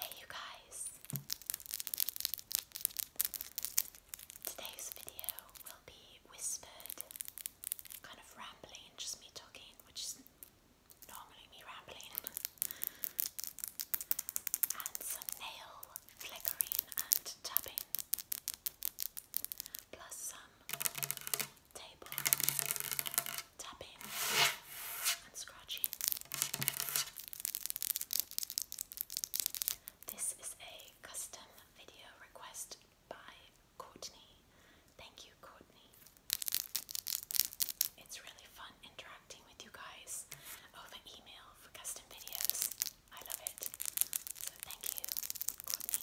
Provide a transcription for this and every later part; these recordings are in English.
Hey, you guys! Today's video will be whispered, kind of rambling, just me talking, which is normally me rambling, and some nail flickering and tapping plus some table tapping and scratching. This is a custom video request by Courtney. Thank you, Courtney. It's really fun interacting with you guys over email for custom videos. I love it. So thank you, Courtney.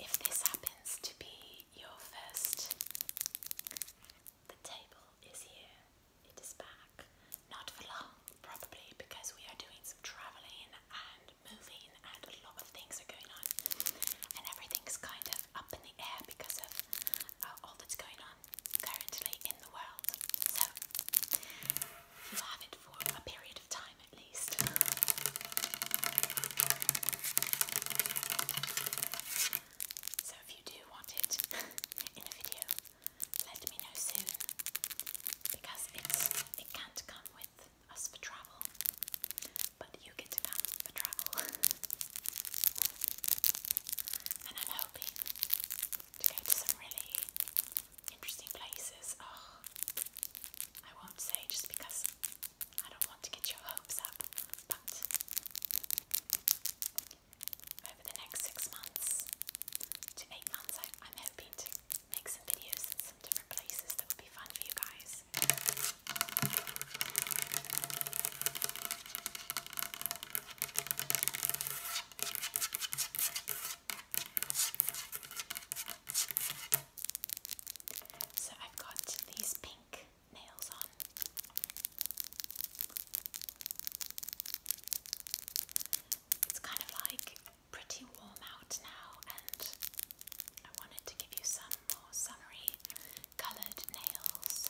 If this happens to be your first, the table is here. It is back. Not for long, probably, because we are doing some traveling and moving, and a lot of things are going on. And everything's kind of up in the air because of uh, all that's going on currently in the world. So, you have it for a period time at least. So if you do want it in a video, let me know soon because it can't come with us for travel, but you get to come for travel. and I'm hoping to go to some really interesting places. Oh, I won't say just because I don't want to get your hopes up, but over the next six months to eight months, I, am hoping to make some videos in some different places that will be fun for you guys. So I've got these pink nails on. It's kind of like pretty warm out now, and I wanted to give you some more summery coloured nails.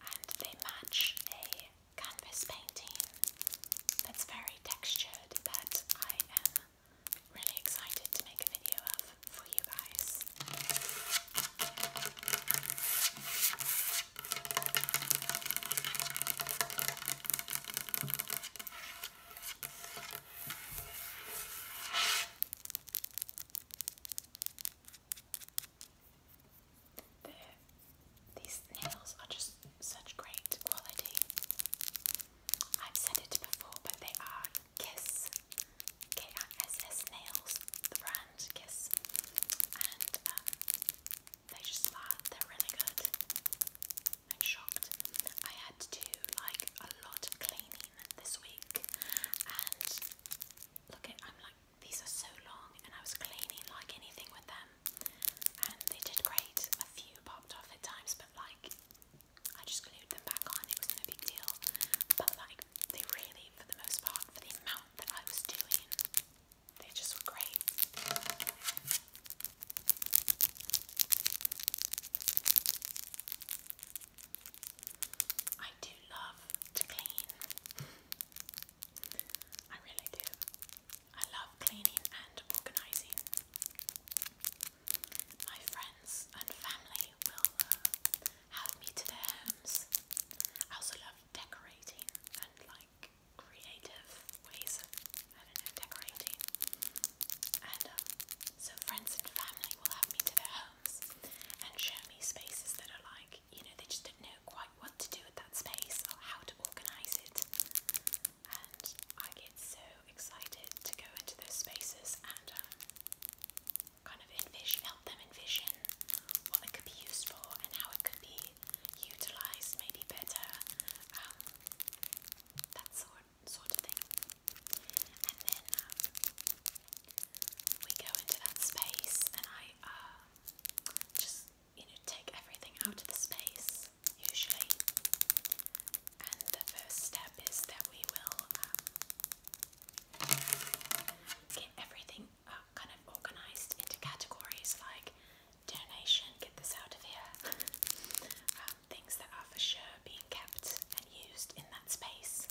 And they match a canvas painting that's very textured that I am really excited to make a video of for you guys. The these nails are just such great quality. I've said it before, but they are Kiss, K-I-S-S Nails, the brand Kiss, and um, they just are, they're really good. I'm shocked. I had to do like a lot of cleaning this week, and look at, I'm like, these are so long, and I was cleaning like anything with them and they did great. A few popped off at times, but like I just glued them back on. It was no big deal. But like they really, for the most part, for the amount that I was doing, they just were great. I do love to clean. I really do. I love cleaning and organising. My friends and family will uh, have me to their homes. I also love decorating and like creative ways decorating. And um, so friends and family will have me to their homes and show me spaces that are like, you know, they just don't know quite what to do with that space or how to organise it and I get so excited to go into those spaces and um, kind of envision, help them envision what it could be used for and how it could be utilized maybe better, um, that sort, sort of thing. And then um, we go into that space and I uh, just you know, take everything out of the space, usually. And the first step is that we will um, get everything uh, kind of organised into categories like donation, get this out of here, um, things that are for sure being kept and used in that space,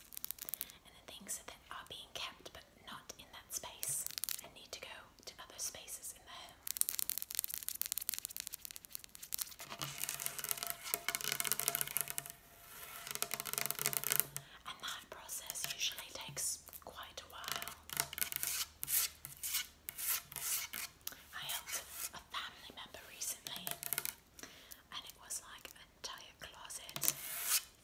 and the things that are being kept but not in that space and need to go to other spaces in the home. And that process usually takes quite a while. I helped a family member recently, and it was like an entire closet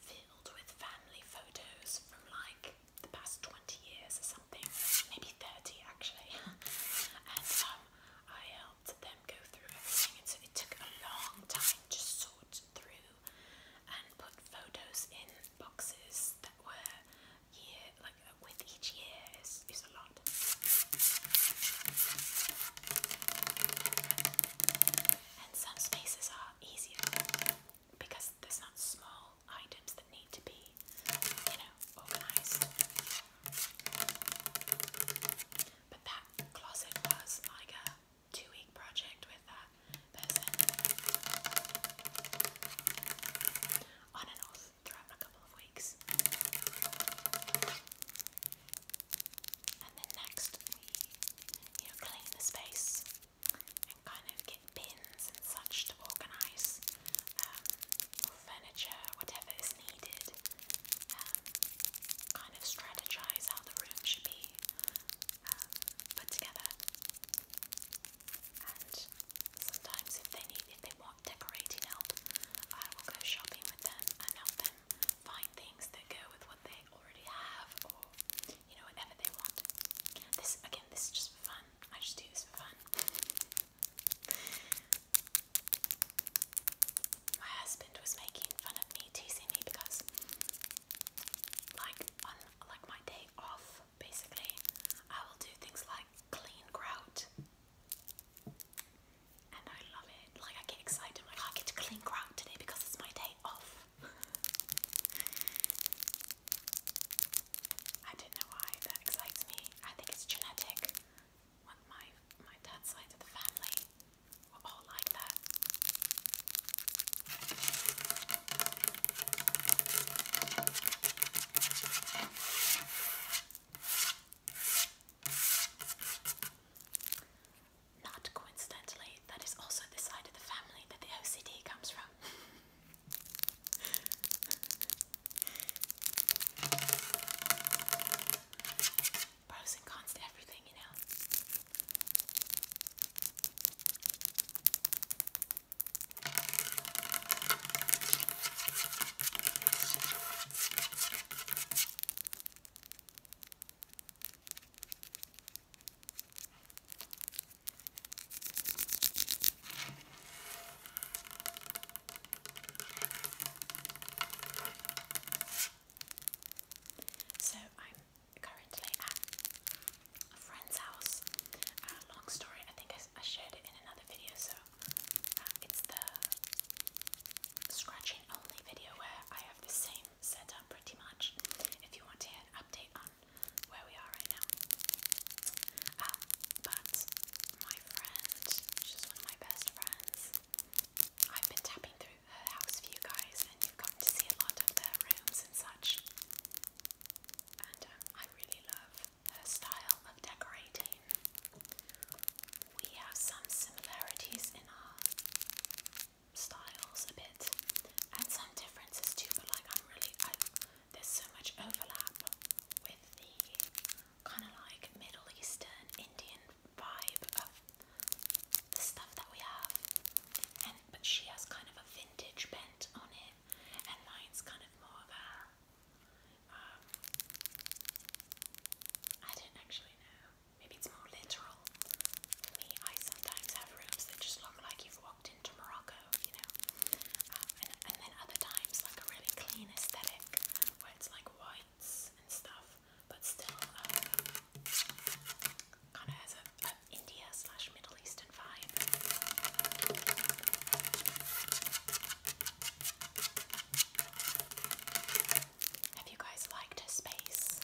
filled with family photos from like the past 20 years or something, maybe 30 actually. and um, I helped them go through everything, and so it took a long time to sort through and put photos in boxes that were year like with each year is, is a lot. And some spaces are easier because there's not small items that need to be, you know, organized. But that closet was like a two week project with that person on and off throughout a couple of weeks. And then next, we you clean the space and kind of get bins and such to organise um, or furniture, whatever is needed. Um, kind of strategise how the room should be um, put together. And sometimes, if they need, if they want decorating help, I will go shopping with them and help them find things that go with what they already have, or you know, whatever they want. This again, this is just for fun. I just do this for fun. My husband was making fun of me, teasing me because, like, on like my day off, basically, I will do things like clean grout, and I love it. Like, I get excited. I'm like, oh, I get to clean grout today because it's my day off. I don't know why that excites me. I think it's genetic. my my dad's side of the family were all like that. Not coincidentally, that is also the side of the family that the OCD comes from. Pros and cons to everything, you know. So I'm currently at a friend's house. Uh, long story, I think I, shared it in another video. So uh, it's the scratching only video where I have the same setup pretty much. If you want to hear an update on where we are right now. Um, but my friend, she's one of my best friends. I've been tapping through her house for you guys, and you've gotten to see a lot of their rooms and such. And um, I really love her style of decorating. We have some similarities in our styles a bit, and some differences too. But like, I'm really I, there's so much overlap with the kind of like Middle Eastern Indian vibe of the stuff that we have, and but she has kind of a vintage bent on it, and mine's kind of more of a. Um, not actually know. Maybe it's more literal me, I sometimes have rooms that just look like you've walked into Morocco, you know. Um, and, then other times, like a really clean aesthetic where it's like whites and stuff, but still uh, kind of has a India slash Middle Eastern vibe. Have you guys liked her space?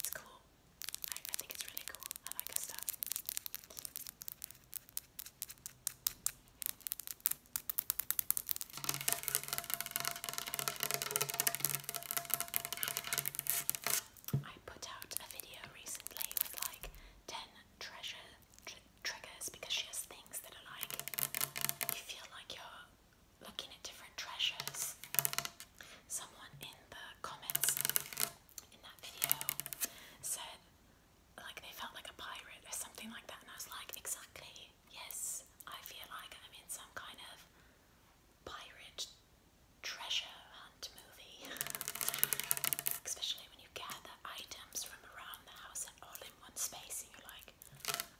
It's cool. I, think it's really cool. I like her stuff. I put out a video recently with like 10 treasure triggers because she has things that are like you feel like you're looking at different treasures someone in the comments in that video said like they felt like a pirate or something like that and I was like exactly yes I feel like I'm in some kind of pirate treasure hunt movie especially when you gather items from around the house and all in one space and you're like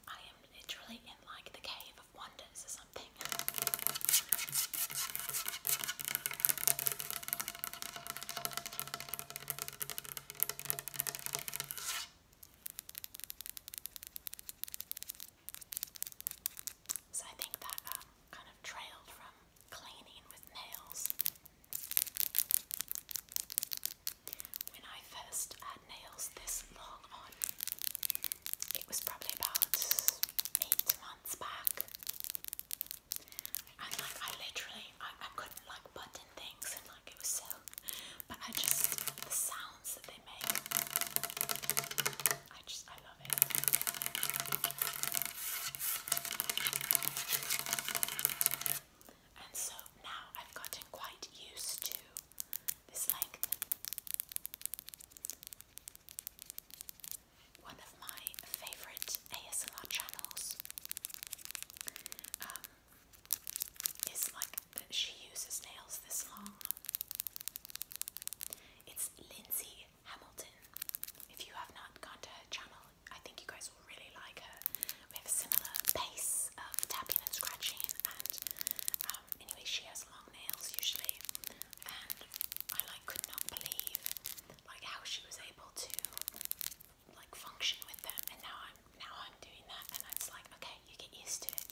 I am literally in like the cave of wonders or something something. So I think that um, kind of trailed from cleaning with nails. When I first had nails this long on, it was probably about eight months back. And like I literally I, I couldn't like button things and like it was so but I just the sounds that they make I just I love it. And so now I've gotten quite used to this length one of my favourite ASMR channels. Um, is like she uses nails this long. It's Lindsay Hamilton. If you have not gone to her channel, I think you guys will really like her. We have a similar pace of tapping and scratching and um, anyway, she has long nails usually, and I like could not believe like how she was able to like function with them. And now I'm now I'm doing that, and it's like okay, you get used to it.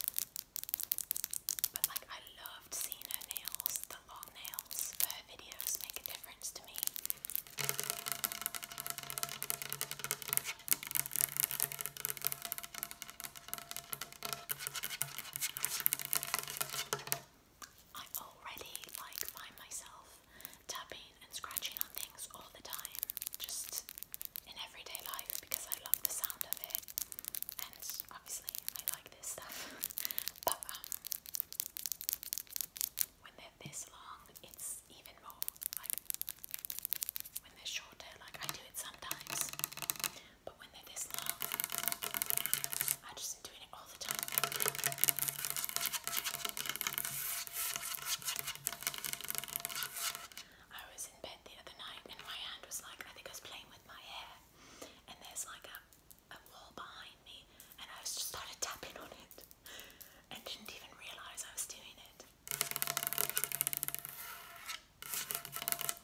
But like I loved seeing her nails, the long nails. Her videos make a difference to me. I already like find myself tapping and scratching on things all the time, just in everyday life because I love the sound of it, and obviously I like this stuff. but um, when they're this long, it's even more like when they're shorter. Like I do it sometimes, but when they're this long, I just am it all the time. I was in bed the other night and my hand was like, I think I was playing with my hair, and there's like a, a wall behind me, and I just started tapping on it and didn't even realise I was doing it.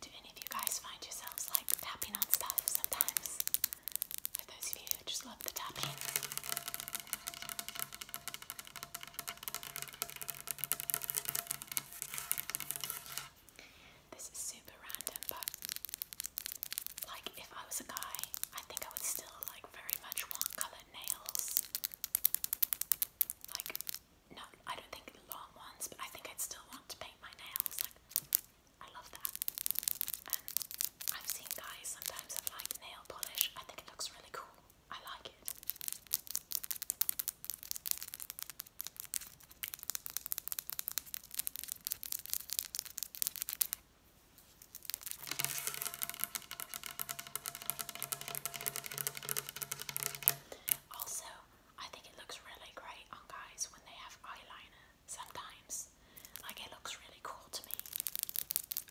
Do any of you guys find yourselves like tapping on stuff sometimes? For those of you who just love the tapping. This is super random, but like if I was a guy, I think I would still like very much want colored nails. Like, no, I don't think long ones, but I think I'd still want to paint my nails. Like, I love that. And I've seen guys sometimes have like nail polish. I think it looks really cool. I like it. Also, I think it looks really great on guys when they have eyeliner sometimes. Like, it looks really cool to me.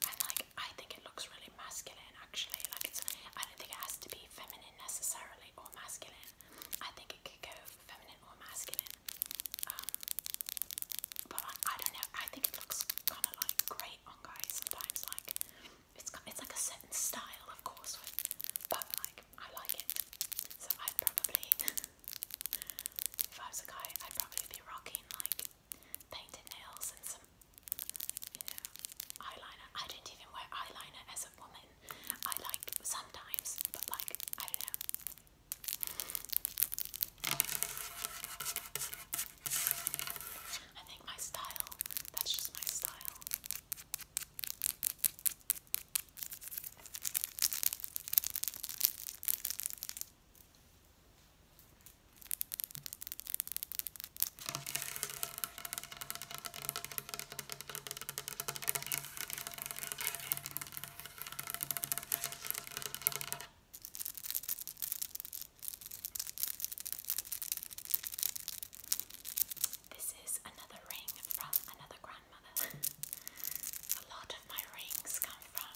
And, like, I think it looks really masculine actually. Like, it's, I don't think it has to be feminine necessarily or masculine. I think it could go feminine or masculine. Um, but I don't know, I think it looks kind of like great guys sometimes. Like it's it's like a certain style, of course, with, but like I like it. So i probably, if I was a guy, I'd probably be rocking like painted nails and some, eyeliner. I don't even wear eyeliner as a woman. I like sometimes, but like I don't know. I think my style, that's just my style. This is another ring from another grandmother. A lot of my rings come from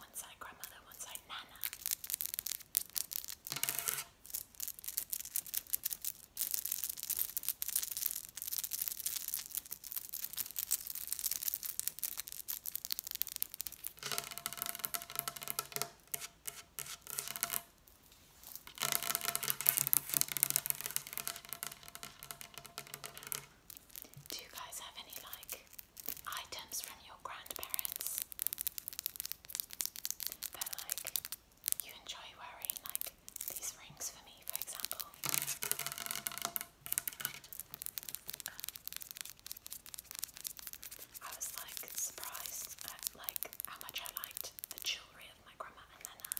one side grandmother, one side nana. Do you guys have any like items from your grandparents that like you enjoy wearing? Like these rings for me, for example. I was like surprised at like how much I liked the jewellery of my grandma and Nana.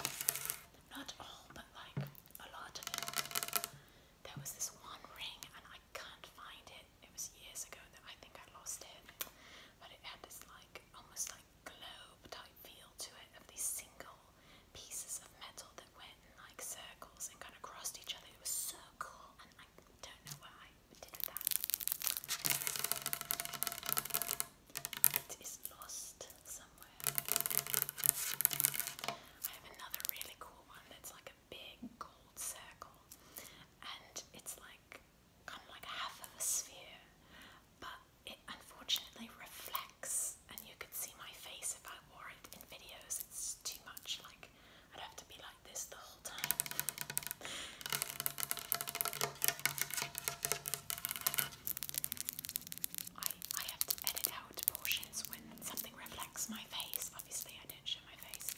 Uh, not all, but like a lot of it. There was this one ring and I can't find it. It was years ago that I think I lost it. But it had this like almost like globe type feel to it of these single pieces of metal that went like circles and kind of crossed each other. It was so cool, and I don't know why I did that. It is lost somewhere. I have another really cool one that's like a big gold circle, and it's like kind of like half of a sphere, but it unfortunately reflects, and you could see my face if I or in videos, it's too much. Like, I'd have to be like this the whole time. I, I have to edit out portions when something reflects my face. Obviously, I don't show my face.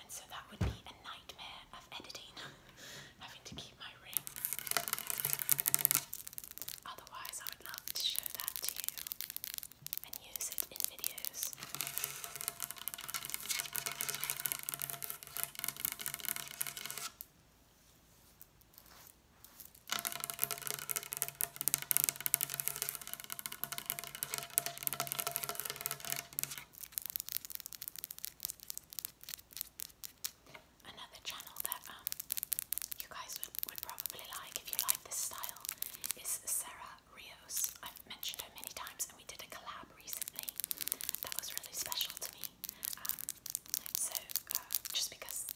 And so that would be a nightmare of editing, having to keep my ring. Otherwise, I would love to show that to you and use it in videos. Another channel that um, you guys would probably like if you like this style is Sarah Rios. I've mentioned her many times, and we did a collab recently that was really special to me. Um, so uh, just because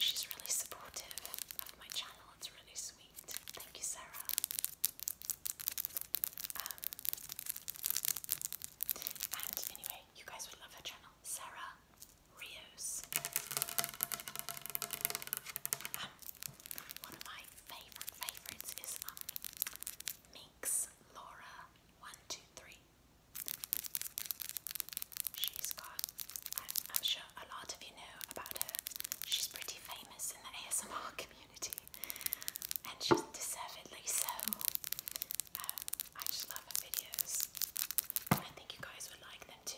she's really supportive of my channel, it's really sweet. Thank you, Sarah. Um, and anyway, you guys would love her channel. Sarah Rios. Um, one of my favorite favorites is um, Laura One Two Three. She's got. I'm, sure a lot of you know about her. She's pretty famous in the ASMR community, and she's deservedly so. Um, I just love her videos. I think you guys would like them to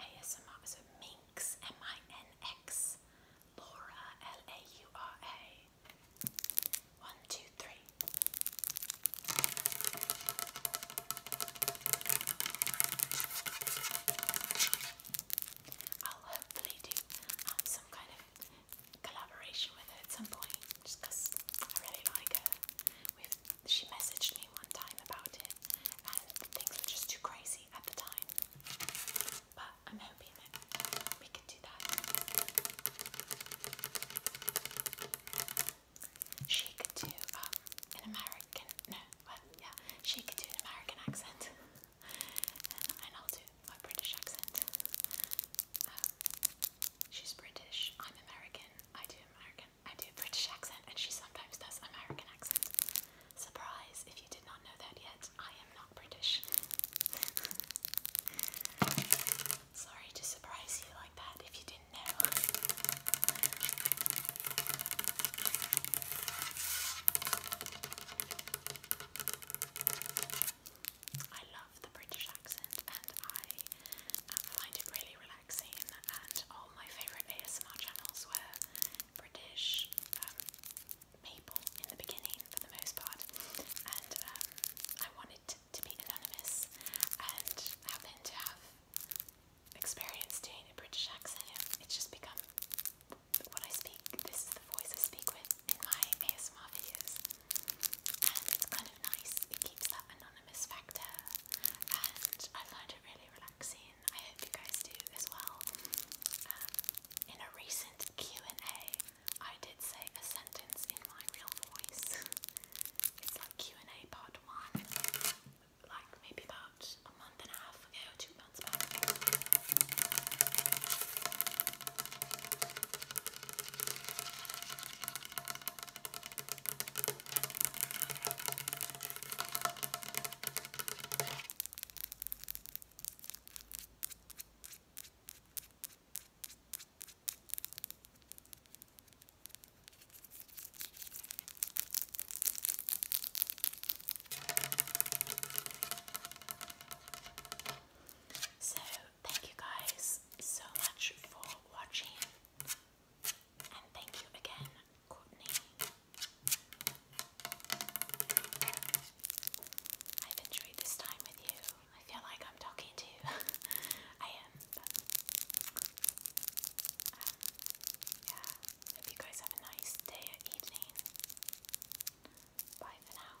ASMR. So Minx, M I N X, Laura, L A U R A. One, two, three. I'll hopefully do um, some kind of collaboration with her at some point, just I really like her she messaged me one time about it, and things were just too crazy at the time. But I'm hoping that we can do that. She could do um, an American, no, yeah, she could do an American accent, and I'll do my British accent. Um, she's British, I'm American, I do American I do British accent and she sometimes does American accent. Surprise, if you did not know that yet, I am not British. Sorry to surprise you like that if you didn't know. I love the British accent and I uh, find it really relaxing relaxing, and all my favourite ASMR channels were British um, people in the beginning for the most part, and um, I wanted to, to be anonymous and happened to have experience doing a British accent. It's just become what I speak, this is the voice I speak with in my ASMR videos, and it's kind of nice, it keeps that anonymous anonymous and I find it really relaxing. I hope you guys do as well. Um, in a recent Q and A, I did say a sentence in my real voice. it's like Q and A part one, like maybe about a month and a half ago, two months back. So, thank you guys so much for watching. And thank you again, Courtney. I've enjoyed this time with you. I feel like I'm talking to you. I am, um, yeah. Hope you guys have a nice day or evening. Bye for now.